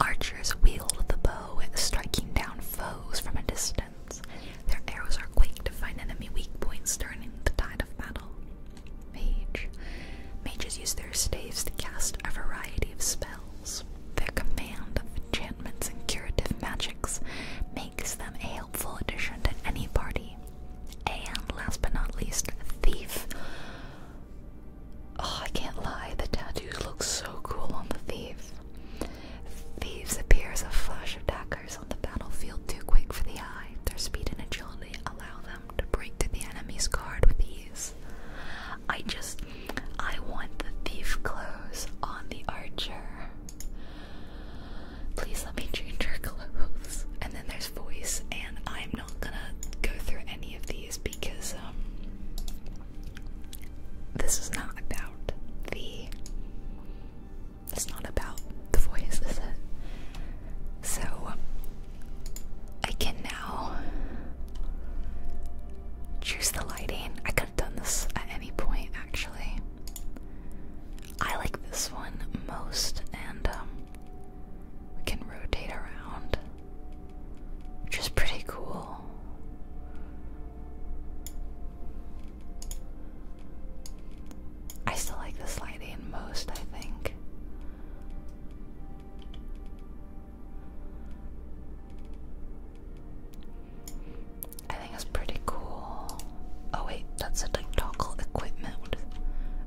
Archers wield the bow, striking down foes from a distance. Their arrows are quick to find enemy weak points turning the tide of battle. Mage. Mages use their staves to cast a variety of spells. Their command of enchantments and curative magics makes them a helpful addition to any party. And last but not least, Thief. Oh, I can't lie, the tattoos look so cool on the Thief. Thieves appear as a flash of daggers on the battlefield, too quick for the eye. Their speed and agility allow them to break through the enemy's guard with ease. I just, I want the thief clothes on the archer. Please let me change her clothes. And then there's voice, and I'm not gonna go through any of these because um this is not about the it's not about the voice, So I can now choose the lighting. I done this at any point, actually. I like this one most, and um, we can rotate around, which is pretty cool. I still like the sliding most, I think. I think it's pretty cool. Oh wait, that's a tactile equipment.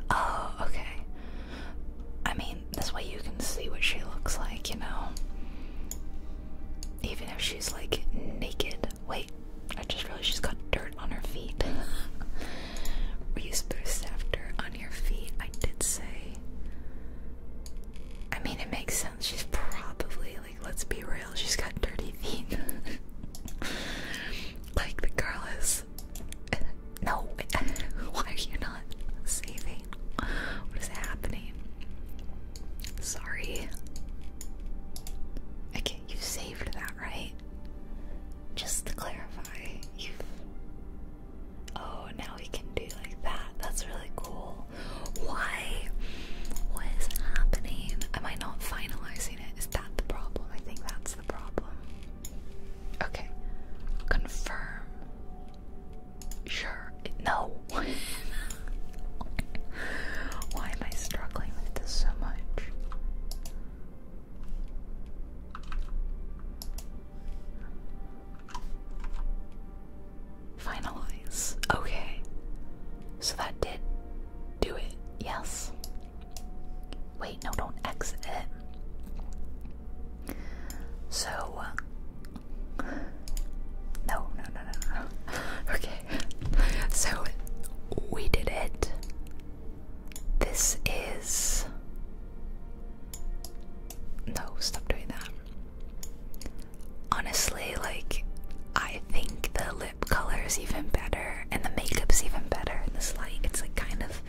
Oh, okay. I mean, this way you can see what she looks like, you know? Even if she's like naked. Wait, I just realized she's got dirt on her feet. Were you supposed to after on your feet? I did say. I mean, it makes sense. She's probably like let's be real, she's got dirty feet. like the girl is no why are you not saving? What is happening? Sorry. I can't. you saved that, right? Just to clarify, you Oh, now we can do like that. That's really cool. Why? What is happening? Am I not finalizing it? Is that the problem? I think that's the problem. Okay. Confirm. Sure. No. Why am I struggling with this so much? Finalize. Okay. So that did do it. Yes. Wait, no, don't exit it. So. No, no, no, no, no. Okay. So we did it. This is. No, stop doing that honestly, like, I think the lip color is even better and the makeup's even better in this light. It's like kind of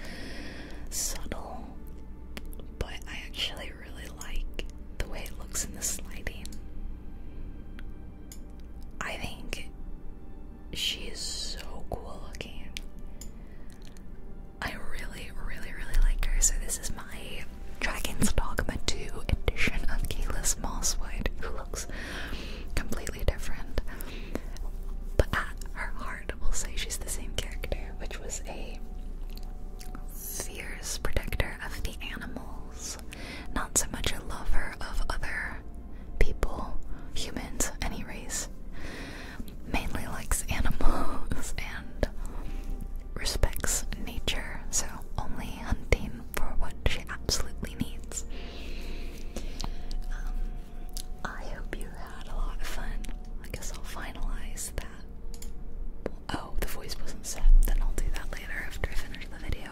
subtle, but I actually really like the way it looks in this lighting. I think she is so cool looking. I really, really, really like her. So, this is my Dragon's Dogma 2 edition of Keyless Mosswood, who looks completely different. But her heart, will say she's the same character, which was a fierce protector of the animals, not so much a lover of other people, humans, any race. Mainly likes animals and respects nature, so only hunting for what she absolutely needs. Um, I hope you had a lot of fun. I guess I'll finalize that. Oh, the voice wasn't set. Then I'll do that later after I finish the video.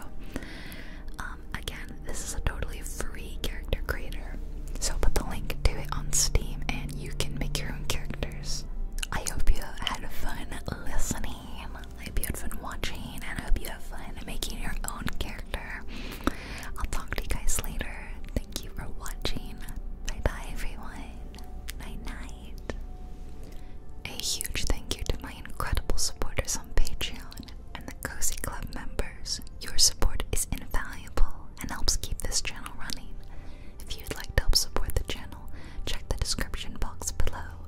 Um, again, this is a totally free character creator. So put the link to it on Steam and you can make your own characters. I hope you had fun listening. I hope you have fun watching and I hope you have fun making your own character. I'll talk to you guys later. Thank you for watching. Bye bye, everyone. Night night. A huge thank you to my incredible supporters on Patreon and the Cozy Club members. Your support is invaluable and helps keep this channel running. If you'd like to help support the channel, check the description box below.